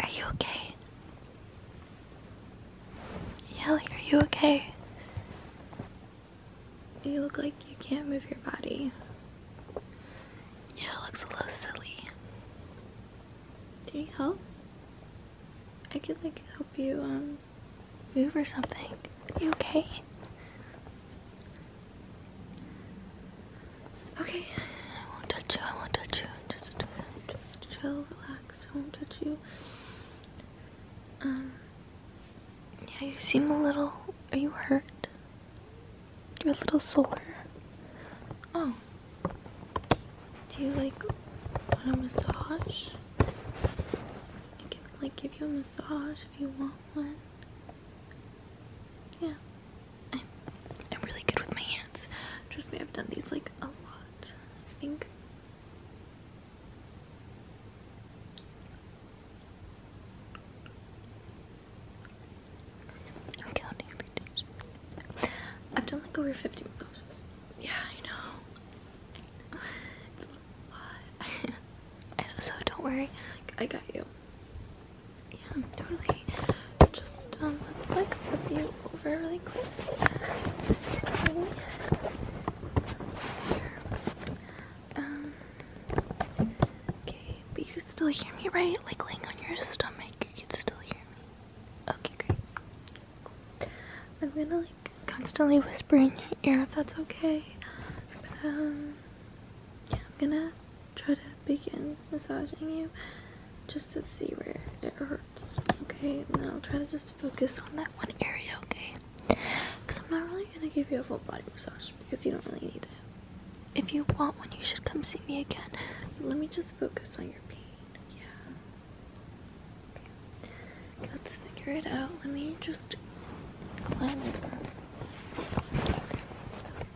Are you okay? Yelly, are you okay? You look like you can't move your body. Yeah, it looks a little silly. Do you need help? I could like help you um move or something. Are you okay? Okay, I won't touch you, I won't touch you. Just, just chill, relax, I won't touch you. Um, yeah, you seem a little, are you hurt? You're a little sore. Oh. Do you like a massage? I can like give you a massage if you want one. Yeah. I'm, really good with my hands. Trust me, I've done these like a lot. I think. I'm counting I've done like over 50 massages. Yeah, I know. I know. So don't worry. I got you. Yeah, totally. Just um, let's like flip you over really quick. Um, okay. but you can still hear me, right? Like laying on your stomach, you can still hear me. Okay, great. I'm gonna like constantly whisper in your ear if that's okay. But um, yeah, I'm gonna try to begin massaging you just to see where it hurts, okay? And then I'll try to just focus on that one area, okay? Because I'm not really going to give you a full body massage because you don't really need it. If you want one, you should come see me again. let me just focus on your pain, yeah? Okay. Let's figure it out. Let me just climb over.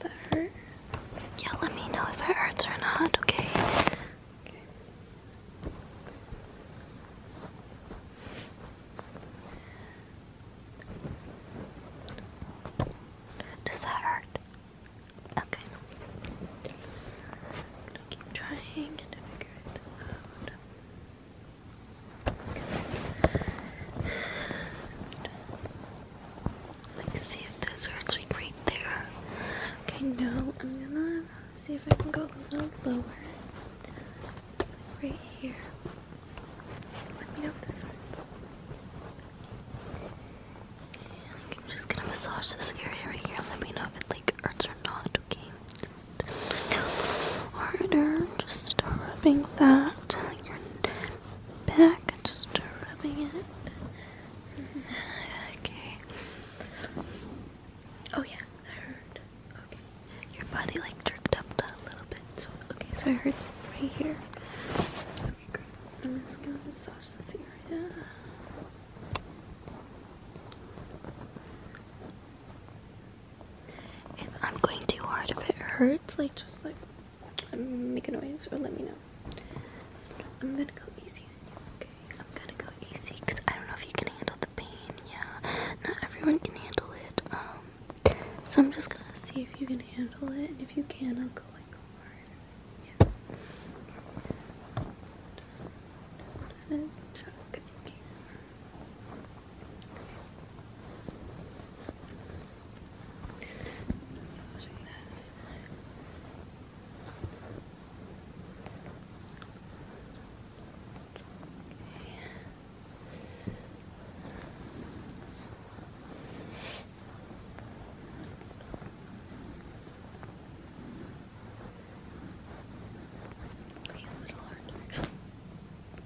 That hurt? Yeah, let me know if it hurts or not, okay? Okay. Does that hurt? Okay. I'm gonna keep trying to figure it out. Let's see if this hurts right there. Okay, now I'm gonna see if I can go a little lower. Right here. Let me know if this hurts. I'm just gonna massage this area right here. Let me know if it like hurts or not, okay? harder, just rubbing that. Your back, just rubbing it. Okay. Oh yeah, I heard. Okay. Your body like jerked up a little bit. So okay, so I heard right here. Okay, I'm just gonna massage this area. I'm going too hard, if it hurts, like just like make a noise or let me know. I'm gonna go easy I'm gonna go easy because I don't know if you can handle the pain. Yeah, not everyone can handle it. Um, so I'm just gonna see if you can handle it, if you can, I'll go like hard. Yeah. Be a little harder.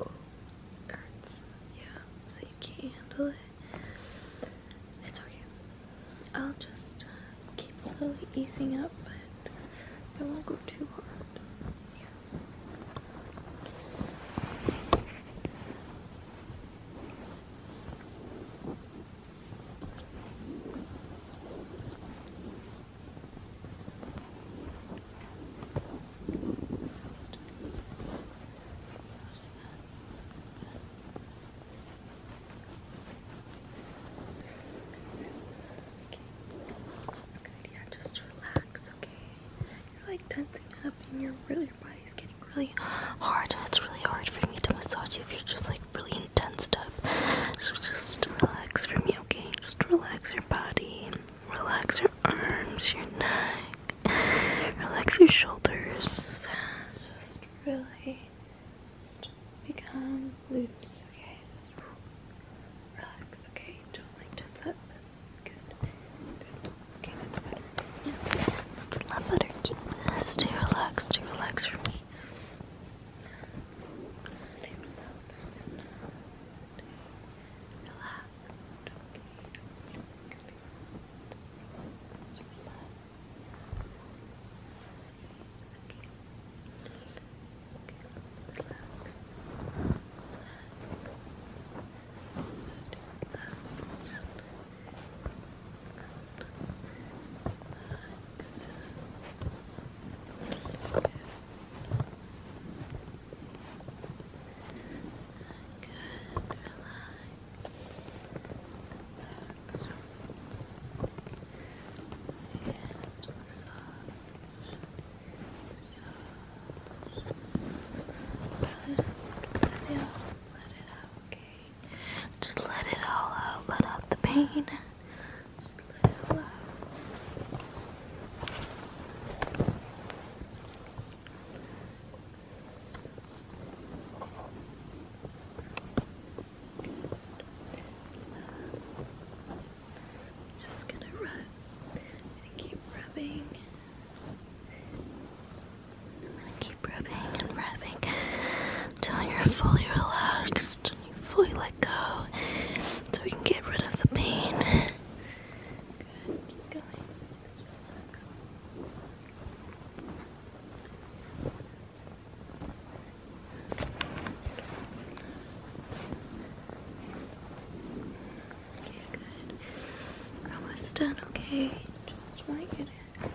Oh, hurts. Yeah, so you can't handle it. It's okay. I'll just uh, keep slowly easing up, but it won't go too hard. Uh, uh, Good, yeah, just relax, okay? You're like tensing up and you really, your body's getting really hard. It's really hard for me to massage you if you're just like really intense stuff. So just relax for me, okay? Just relax your body, relax your arms, your neck, relax your shoulders. Just really just become loose, okay? relax, okay? Don't tense up. Good. Good. Okay, that's better. Now, let's love butter. Keep this to relax, to relax for me. Relaxed, okay. Good, relax. Relax. Just let it let it all out. Let out the pain. Just let it all out. Just gonna rub and keep rubbing. I'm gonna keep rubbing and rubbing until you're fully relaxed and you fully let go so we can get rid of the pain. Good, keep going. Just relax good. almost done, okay? Just want you to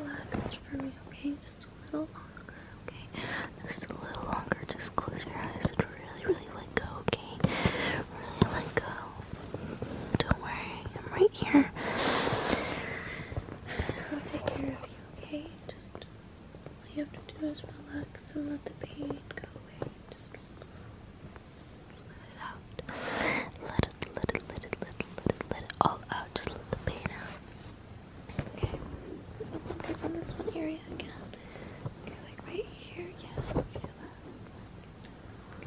relax for me, okay? Just a little longer, okay? Just a little longer. Just close your eyes and really, really let go, okay? Really let go well. Don't worry, I'm right here. I'll take care of you, okay? Just all you have to do is relax and let the pain go away. Just let it out. Let it, let it, let it, let it, let it, let it all out. Just let the pain out. Okay. We'll focus on this one area again. Okay, like right here, yeah, you feel that.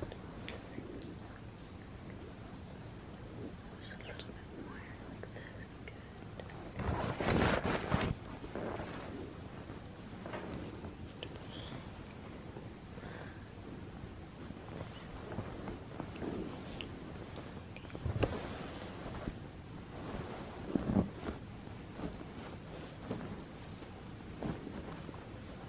Good. Just a little bit more like this. Good. Okay.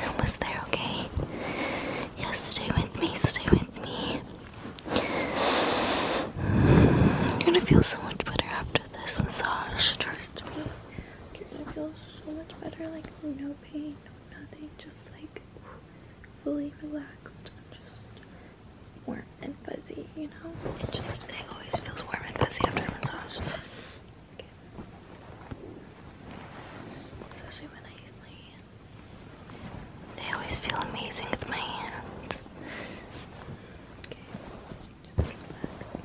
I was there, okay? Yes, stay with me, stay with me. You're gonna feel so much better after this massage, trust me. You're gonna feel so much better, like no pain, nothing, just like fully relaxed, just warm and fuzzy, you know? It just, it always feels warm and fuzzy after a massage. Okay. Especially when I use my hands. They always feel amazing with my hands. Okay. Just relax.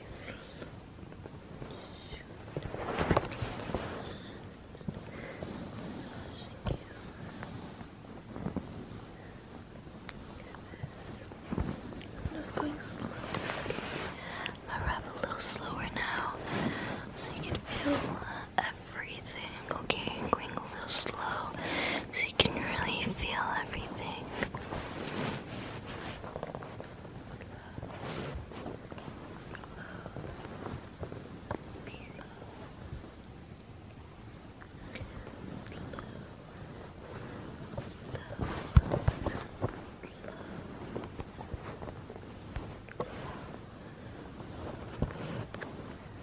I'm just going slow. i wrap a little slower now so you can feel. Uh, everything, okay? i going a little slow so you can really feel everything let it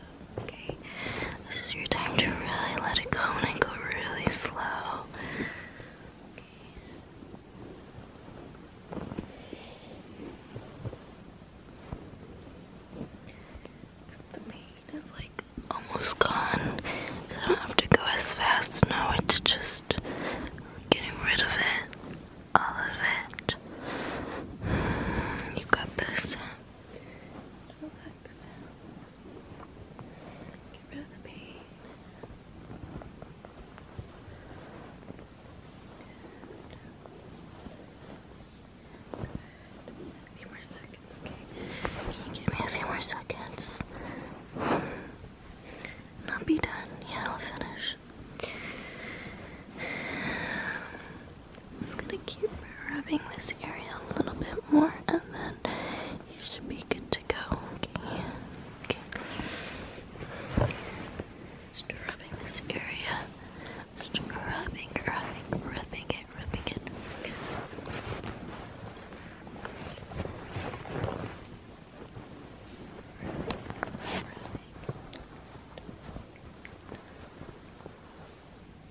go, okay? This is your time to really let it go and go really slow. The pain is like almost gone, I don't have to go as fast now. It's just getting rid of it, all of it. You got this. Can you give me a few more seconds? And I'll be done. Yeah, I'll finish. just gonna keep rubbing this area a little bit more and then you should be good to go. Okay. okay. rubbing this area. Just rubbing, rubbing, rubbing it, rubbing it.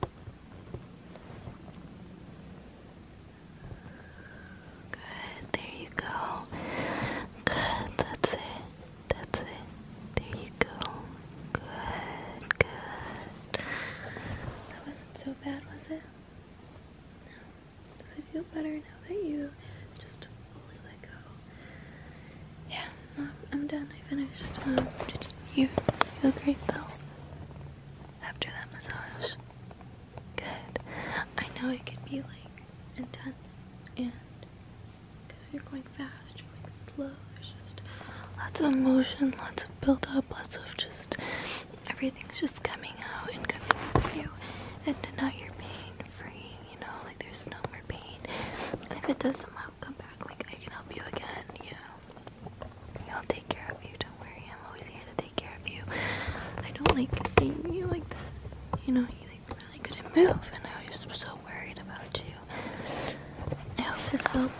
Good, there you go. Good, that's it. That's it. There you go. Good, good. That wasn't so bad, was it? No. Does it feel better now that you just fully let go? Yeah, I'm done. I finished. Um, you feel great though after that massage? Good. I know it can be like intense and because you're going fast, you're going slow. It's just lots of emotion, lots of build lots of just everything's just coming out and coming through And now you're pain free, you know, like there's no more pain. And if it does somehow come back, like I can help you again, yeah. I'll take care of you. Don't worry. I'm always here to take care of you. I don't like seeing you like this. You know, you like really couldn't move, and I was so worried about you. I hope this helped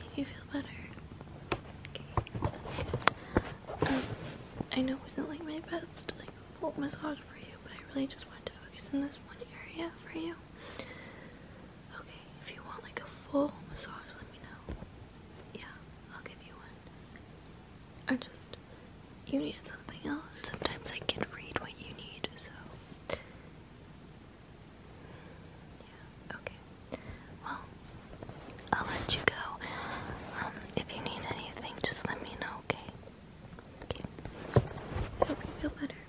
make you feel better. Um, I know it wasn't like my best like full massage for you, but I really just wanted to focus in this one area for you. Okay, if you want like a full massage, let me know. Yeah, I'll give you one. I just, you needed something else. Sometimes I can read what you need, so. Yeah, okay. Well, I'll let you go. Um, if you need anything, just let me know, okay? Okay. hope you feel better.